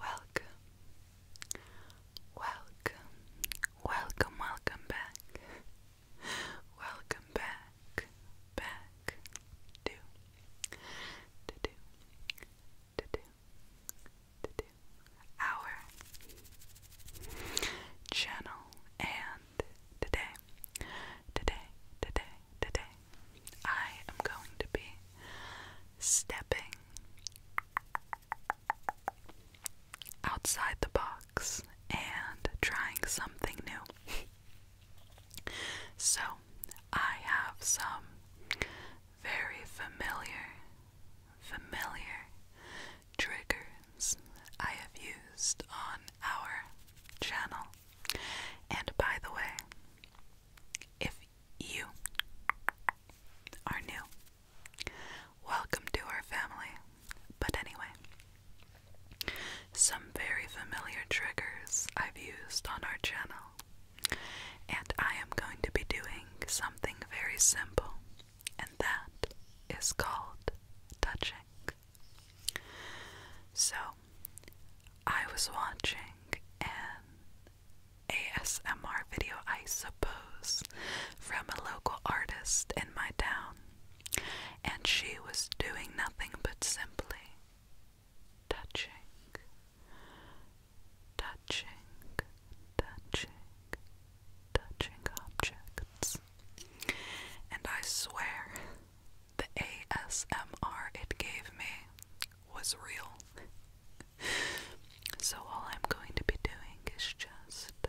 Welcome, welcome, welcome, welcome back, welcome back, back to, to do, to do, to do our channel. And today, today, today, today, I am going to be stepping outside the box and trying something new. so, I have some very familiar, familiar triggers I have used on our channel and by the way, if you are new, welcome to our family. But anyway, some very familiar triggers I've used on our channel, and I am going to be doing something very simple, and that is called touching. So, I was watching an ASMR video, I suppose, from a local artist in my town, and she was doing nothing but simply touching, touching, touching, touching objects. And I swear, the ASMR it gave me was real. so all I'm going to be doing is just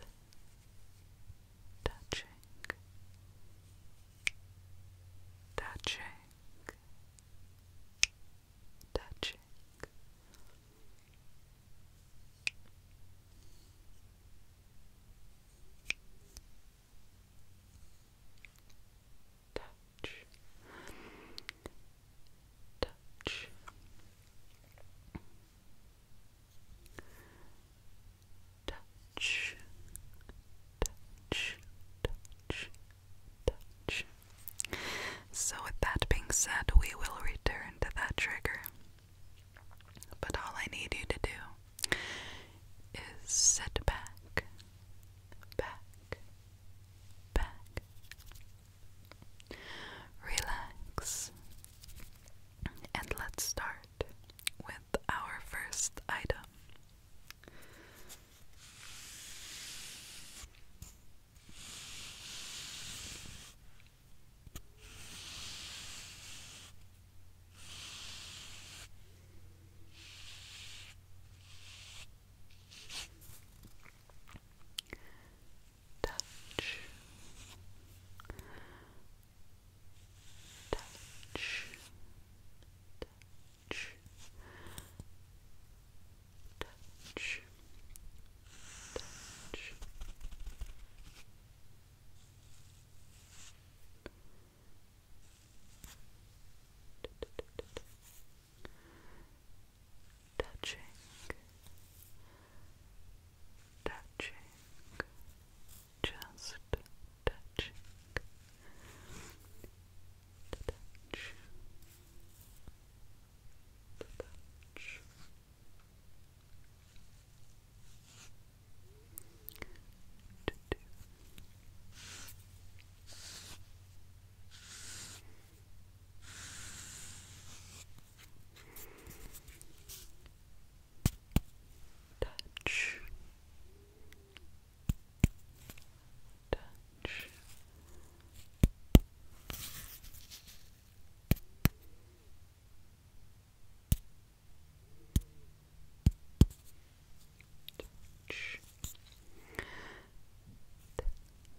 touching, touching, touching touch, touch, touch, touch, touch, touch. So, with that being said, we will return to that trigger. But all I need you to do is set back, back, back. Relax. And let's start with our first item. Touch. Touch. Touch. Touch. Touch touching touching just touching touch touch to do. Touch, touch, Touch.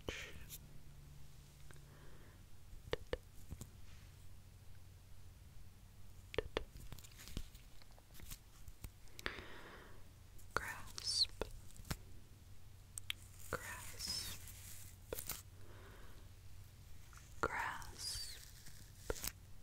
Touch. grasp, grasp, grasp,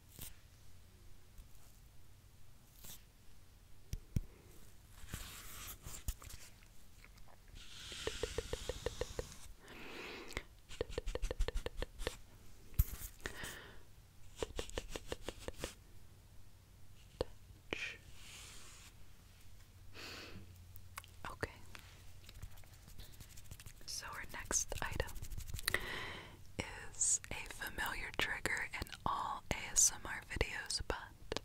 Touch. Okay. So, our next item is a familiar trigger in all ASMR videos, but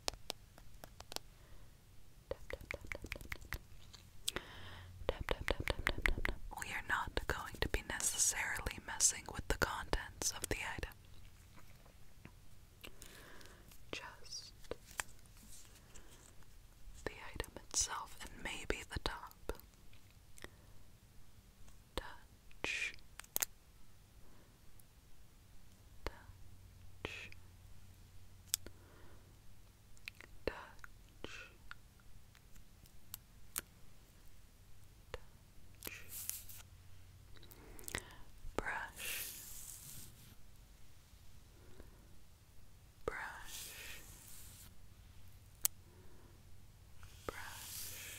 we are not going to be necessarily messing with the contents of the item. Just the item itself and maybe the top touch, touch, touch. Touch. Brush, brush, brush.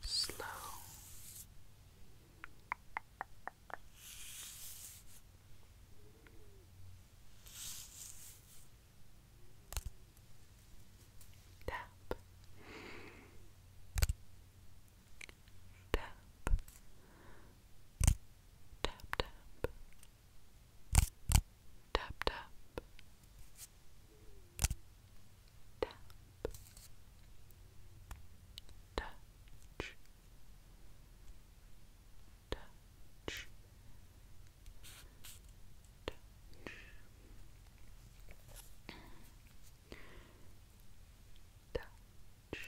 Slow, tap, tap, tap, tap, tap, tap, tap, touch, touch, touch touch,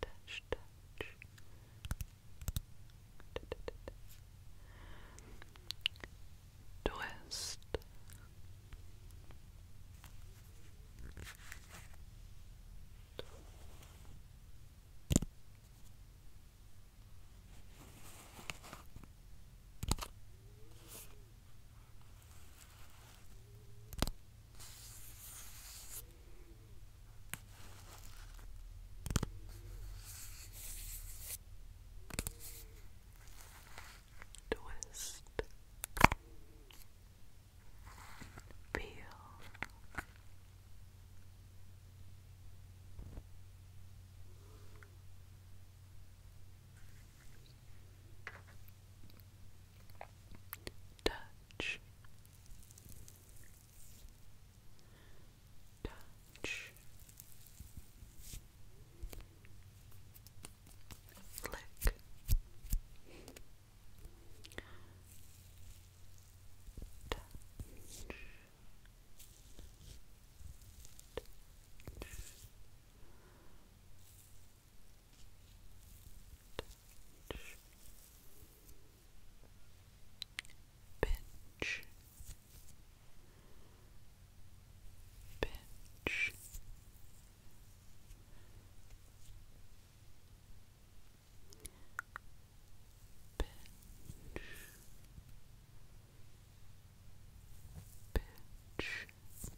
touch, touch. Twist. Twist, peel, touch touch flick touch Touch. Touch. Pinch. Pinch. Pinch. Pinch. Pitch. Good.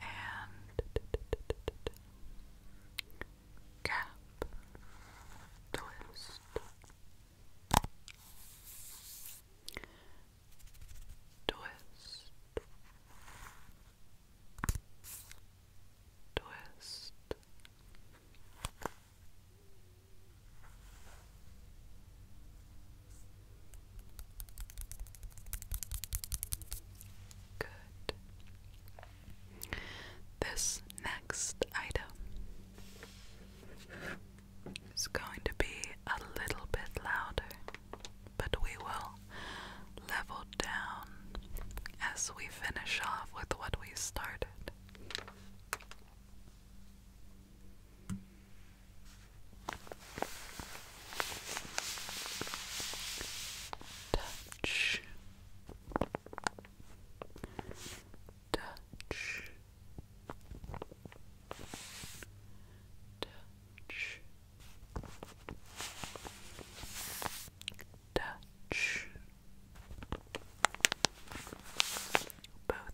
And cap twist. Twist, twist. Good. This next item is going to be a little bit louder but we will level down as we finish off with what we started. Touch, touch, touch, Touch both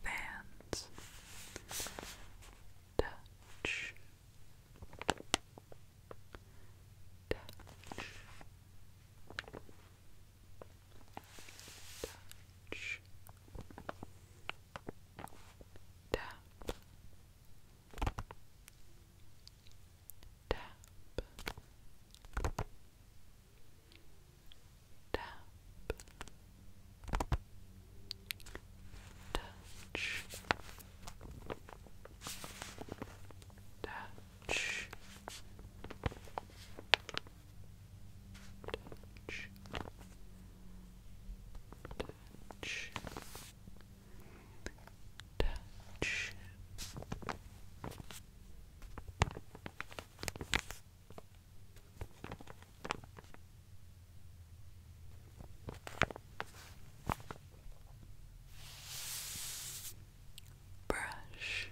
hands. Touch. Touch. Touch. Tap. Tap. Tap. Touch. Touch. Touch. Touch touch. Brush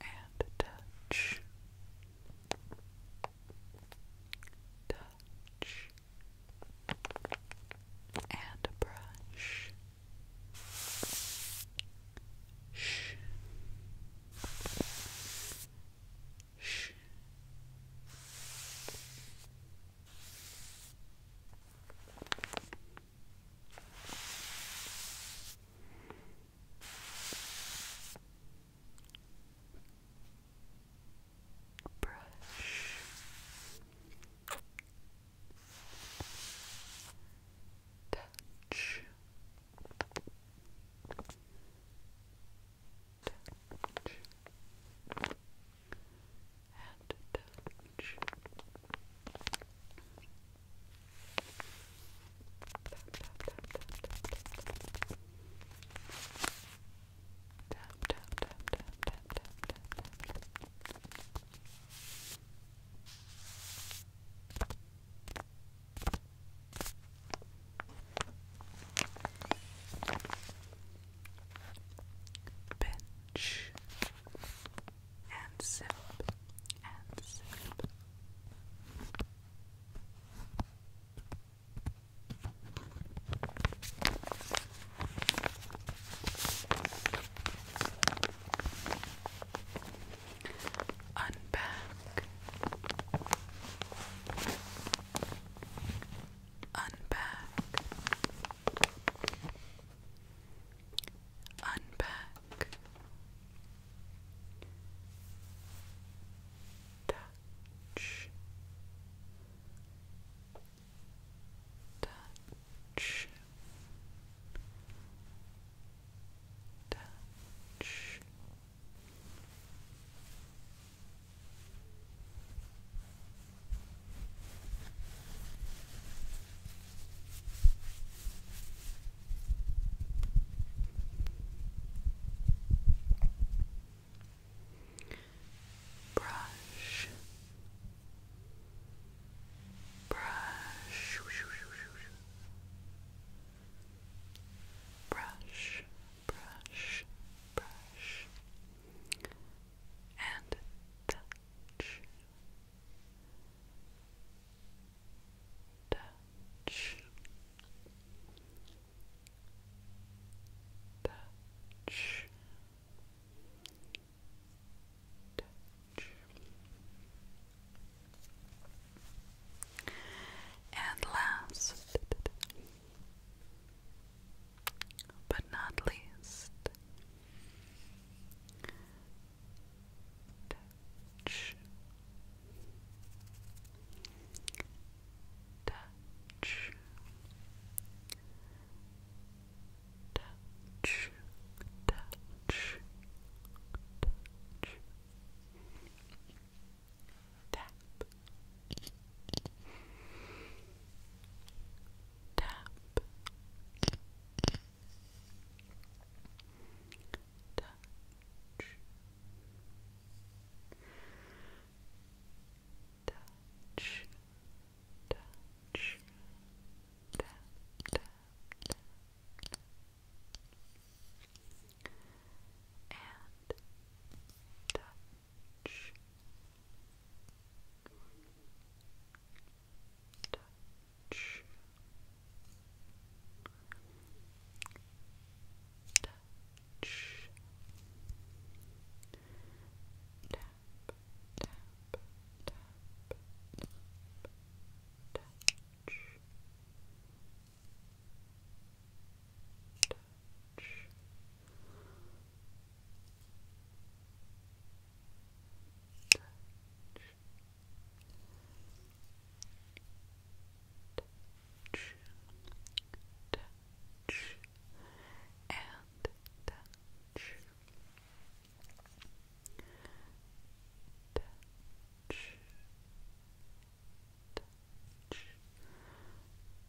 and touch, touch, and brush. Shh. Shh brush touch touch and touch. Tap, tap, tap, tap, tap, tap, tap, tap. Bench, and sip and sip. Unpack, unpack, Unpack. Touch. Touch. Touch. Brush, brush, brush, brush, brush, and touch, touch, touch, And last, but not least, tap touch touch touch tap tap and touch touch, touch, tap, tap, tap, tap, touch. Touch, touch, touch, touch, and touch. Touch, touch, grasp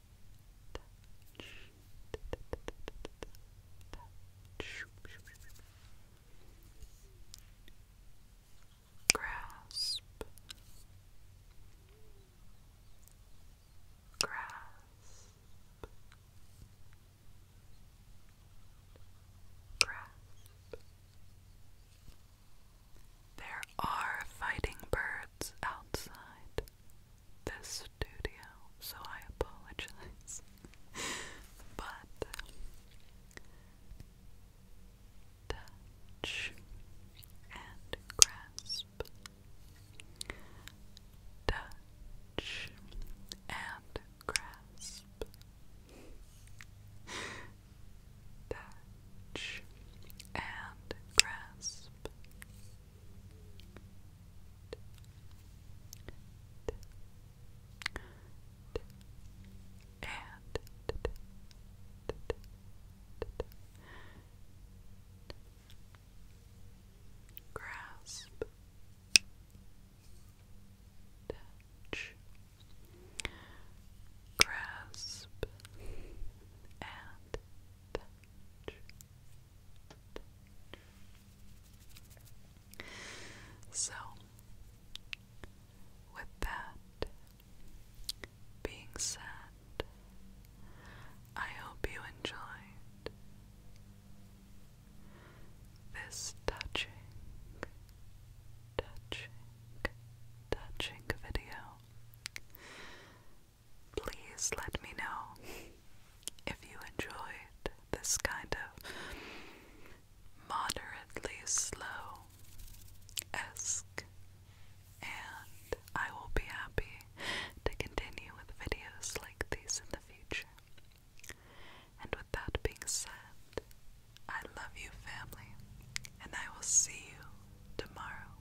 grasp grasp there are fighting birds outside this studio, so I apologize. but touch and grasp, touch and grasp, touch and grasp grasp touch grasp and so, with that being said, I hope you enjoyed this touching, touching, touching video please let me know if you enjoyed this kind of moderately slow esque, and I will be happy to continue with videos like these in the future. And with that being said, I love you, family, and I will see you tomorrow.